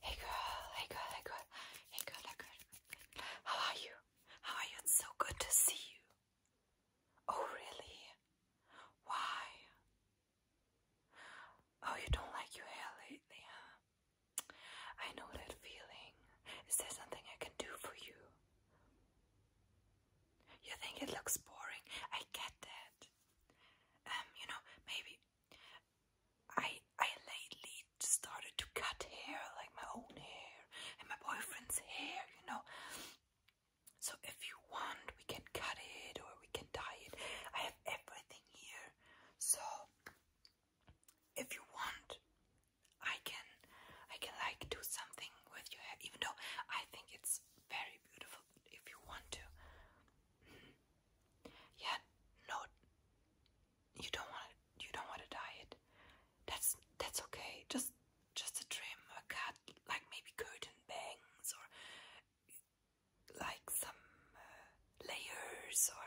Hey girl, hey girl, hey girl, hey girl, hey girl. How are you? How are you? It's so good to see you. Oh, really? Why? Oh, you don't like your hair lately, huh? I know that feeling. Is there something I can do for you? You think it looks boring? I get that. Um, you know, maybe I I lately started to cut hair, like my own hair and my boyfriend's hair, you know. So if you want, we can cut it or we can dye it. I have everything here. So if you want, I can I can like do something with your hair, even though I think it's very beautiful if you want to. Yeah, no you don't want you don't want a diet. That's that's okay. Just just a trim, a cut, like maybe curtain bangs or like some uh, layers or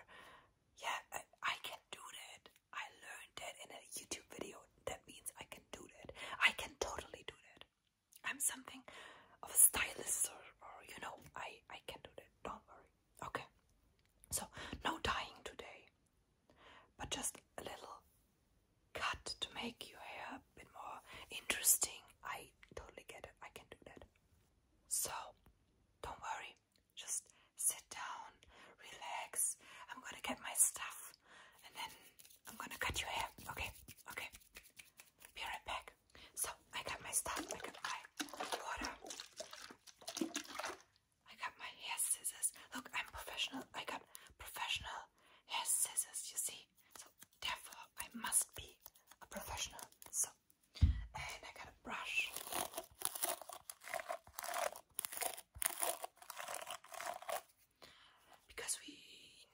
yeah, I, can do that. I learned that in a YouTube video. That means I can do that. I can totally do that. I'm something of a stylist or, or you know, I I can do that. Don't worry. Okay, so no dyeing today, but just a little cut to make your hair a bit more interesting. I totally get it, I can do that. So, don't worry, just sit down, relax. I'm gonna get my stuff and then I'm gonna cut your hair. Okay, okay, be right back. So I got my stuff. I got my water. I got my hair scissors. Look, I'm professional. I got professional hair scissors, you see. So therefore I must be a professional. So and I got a brush. Because we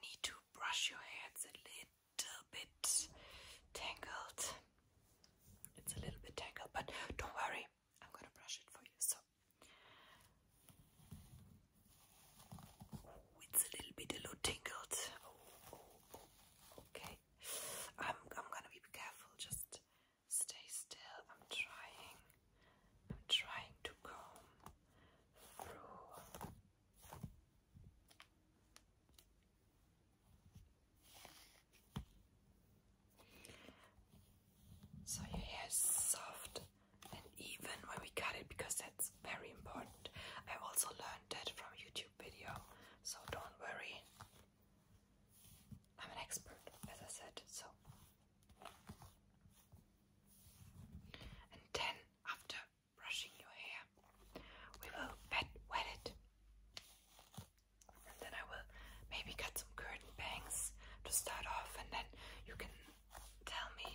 need to brush your hair, it's a little little bit tangled. It's a little bit tangled, but don't worry, I'm gonna brush it for you. So it's a little bit a little tangled. Oh, oh, oh, okay, I'm I'm gonna be careful. Just stay still. I'm trying. I'm trying to comb through. So your hair is soft and even when we cut it because that's very important. I also learned that from YouTube video, so don't worry. I'm an expert, as I said, so and then after brushing your hair. We will wet, wet it. And then I will maybe cut some curtain bangs to start off, and then you can tell me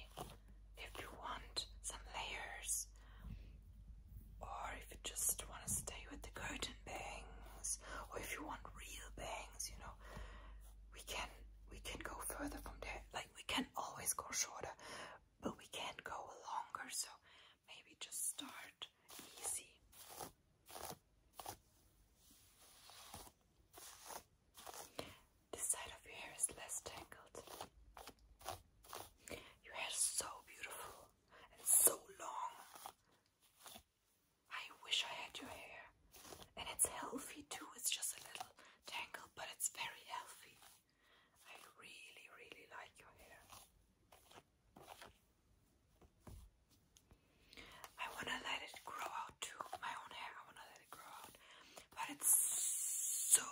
if you want some layers or if you just want to stay with the curtain bangs or if you want real bangs, you know. We can we can go further from there. Like we can always go shorter, but we can go longer, so maybe just start easy. This side of your hair is less tangled. Your hair is so beautiful and so long. I wish I had your hair. And it's healthy too, it's just a little tangled, but it's very healthy. I really, really like your hair. I want to let it grow out too, my own hair. I want to let it grow out, but it's so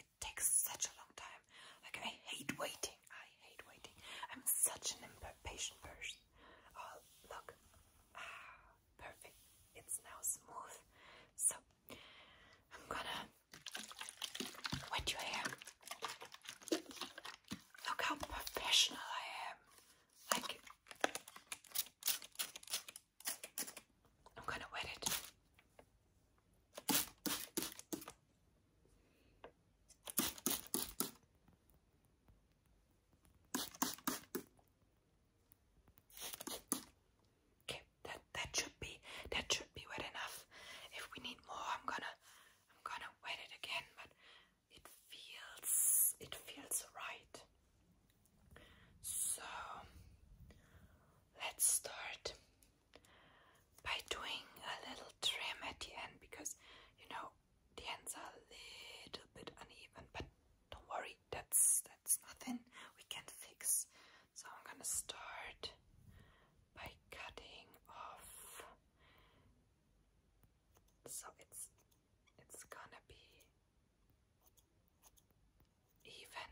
it takes such a long time. Like I hate waiting. I hate waiting. I'm such an impatient person. Oh look, ah, perfect. It's now smooth. So I'm gonna Wet your hair. Look how professional I am. Like, I'm gonna wet it. Okay, that that should that should be wet enough. If we need more, I'm gonna I'm gonna wet it again, but it feels it feels right. So let's start by doing a little trim at the end because you know the ends are a little bit uneven, but don't worry, that's that's nothing we can fix. So I'm going to start by cutting off. So it's it's gonna be even.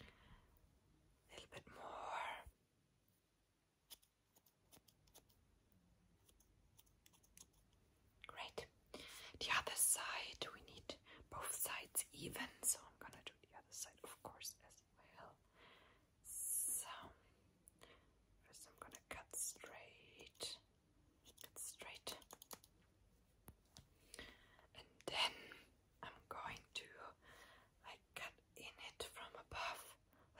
A little bit more. Great. The other side, we need both sides even, so I'm gonna do the other side, of course, as well. So, first I'm gonna cut straight, cut straight, and then I'm going to like cut in it from above,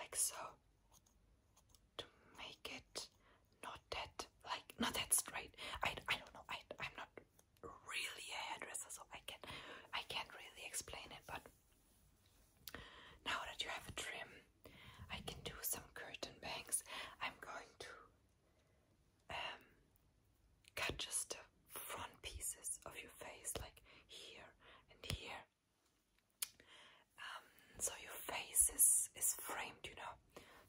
like so, to make it not that like not that straight. I I don't know. I I'm not really a hairdresser, so I can I can't really explain it, but now that you have a trim, I can do some curtain bangs. I'm going to um cut just the front pieces of your face, like here and here. Um, so your face is is framed, you know.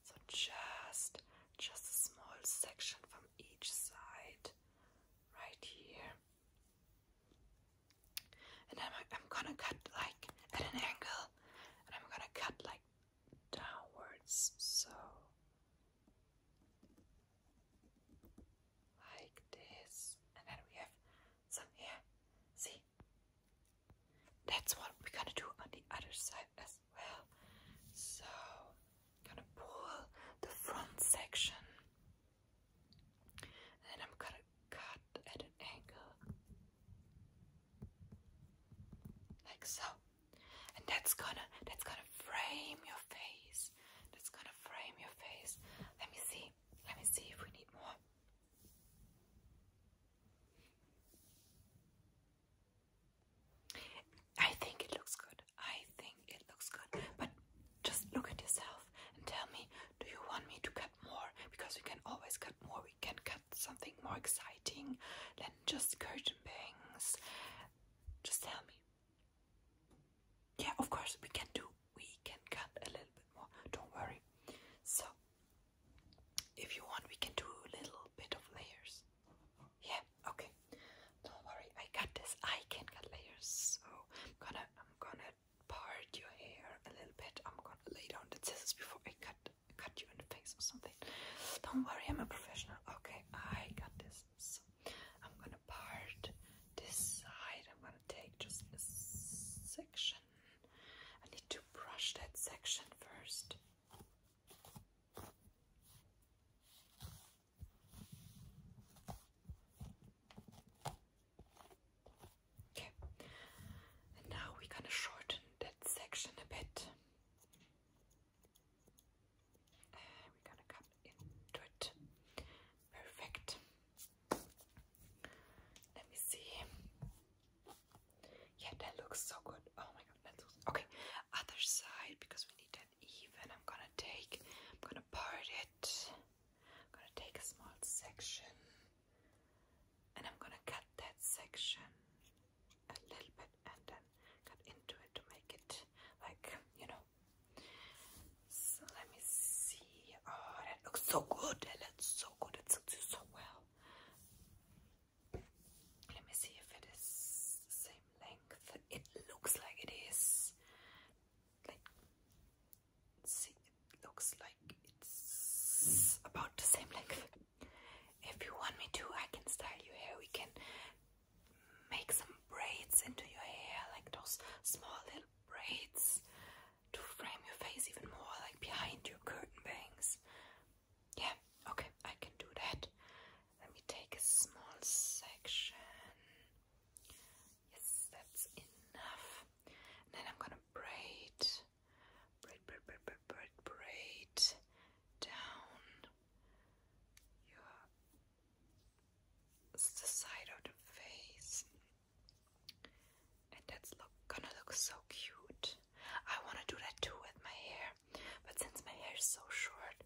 So just just a small section from each side right here. And I'm, I'm gonna cut like at an angle and I'm gonna cut like downwards so like this and then we have some here see that's what we're gonna do on the other side as well. So I'm gonna pull the front section and I'm gonna cut at an angle like so. And that's gonna that's gonna frame your face. That's gonna frame your face. Let me see. Let me see if we need more. I think it looks good. I think it looks good. But just look at yourself and tell me, do you want me to cut more? Because we can always cut more. We can cut something more exciting than just curtain bangs. Just tell me. Yeah, of course we can do. We can cut a little bit more. Don't worry. So, if you want, we can do a little bit of layers. Yeah, okay. Don't worry, I got this. I can cut layers, so am gonna I'm gonna part your hair a little bit. I'm gonna lay down the scissors before I cut cut you in the face or something. Don't worry, I'm a professional. Okay, I got this. So I'm gonna part this side. I'm gonna take just a section. I need to brush that section first. Okay, and now we're gonna shorten that section a bit. we're gonna cut into it. Perfect. Let me see. Yeah, that looks so good. Oh my god, that looks okay. Other side because we need that even. I'm gonna take, I'm gonna part it. I'm gonna take a small section and I'm gonna cut that section a little bit and then cut into it to make it like, you know. So let me see. Oh, that looks so good. That looks so good. It suits you so well. Let me see if it is the same length. It looks like it is. Like, see, it looks like it's about the same length. If you want me to, I can style your hair. We can make some braids into your hair, like those small little braids to frame your face even more, like behind your curtain bangs. Yeah, okay, I can do that. Let me take a small section. Yes, that's enough. then I'm gonna braid, braid, braid, braid, braid, braid, down your the side of the face, and that's gonna look so cute. I wanna do that too with my hair. But since my hair is so short,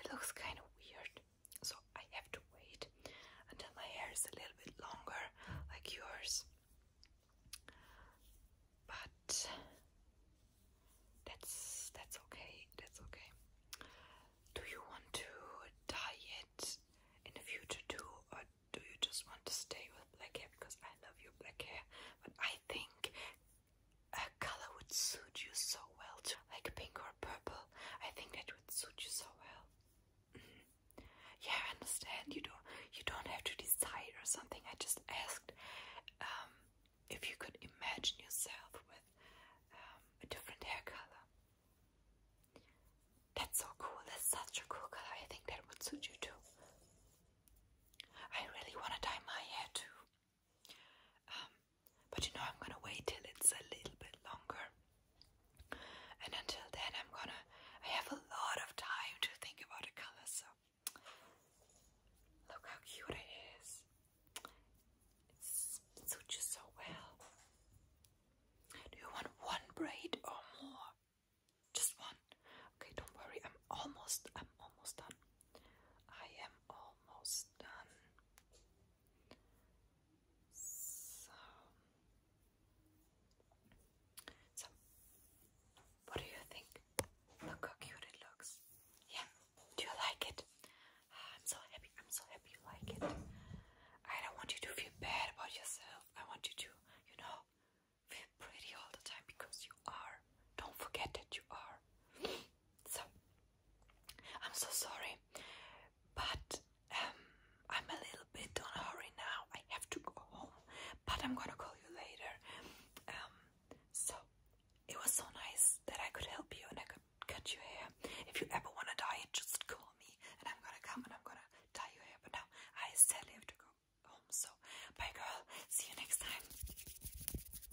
it looks kind of weird. So I have to wait until my hair is a little bit longer, like yours. But that's that's okay. That's okay. Do you want to dye it in the future too, or do you just want to stay with black hair? Because I love your black hair, but I think a color would suit you so well Like pink or purple. I think that would suit you so well. Mm-hmm. Yeah, I understand. You don't you don't have to decide or something. I just asked um, if you could imagine yourself with um, a different hair color. That's so cool. That's such a cool color. I think that would suit you too. I really want to dye my hair too. Um, but you know, I'm gonna wait till it's a little bit longer. And until then, I'm gonna. have a lot of time to think about a color, so. Look how cute It's, it suits you so well. Do you want one braid or more? Just one. Okay, don't worry. I'm almost. I'm almost done. I am almost done. So, what do you think? Look how cute it looks. Yeah, do you like it? Ah, I'm so happy. I'm so happy you like it. I don't want you to feel bad about yourself. I want you to, you know, feel pretty all the time because you are. Don't forget that you are. So I'm so sorry, but um, I'm a little bit on a hurry now. I have to go home, but I'm gonna call you later. Um, so it was so nice that I could help you and I could cut your hair. If you ever wanna die, just call me and I'm gonna come and I'm gonna dye your hair. But now I sadly have to go home. So bye, girl. See you next time.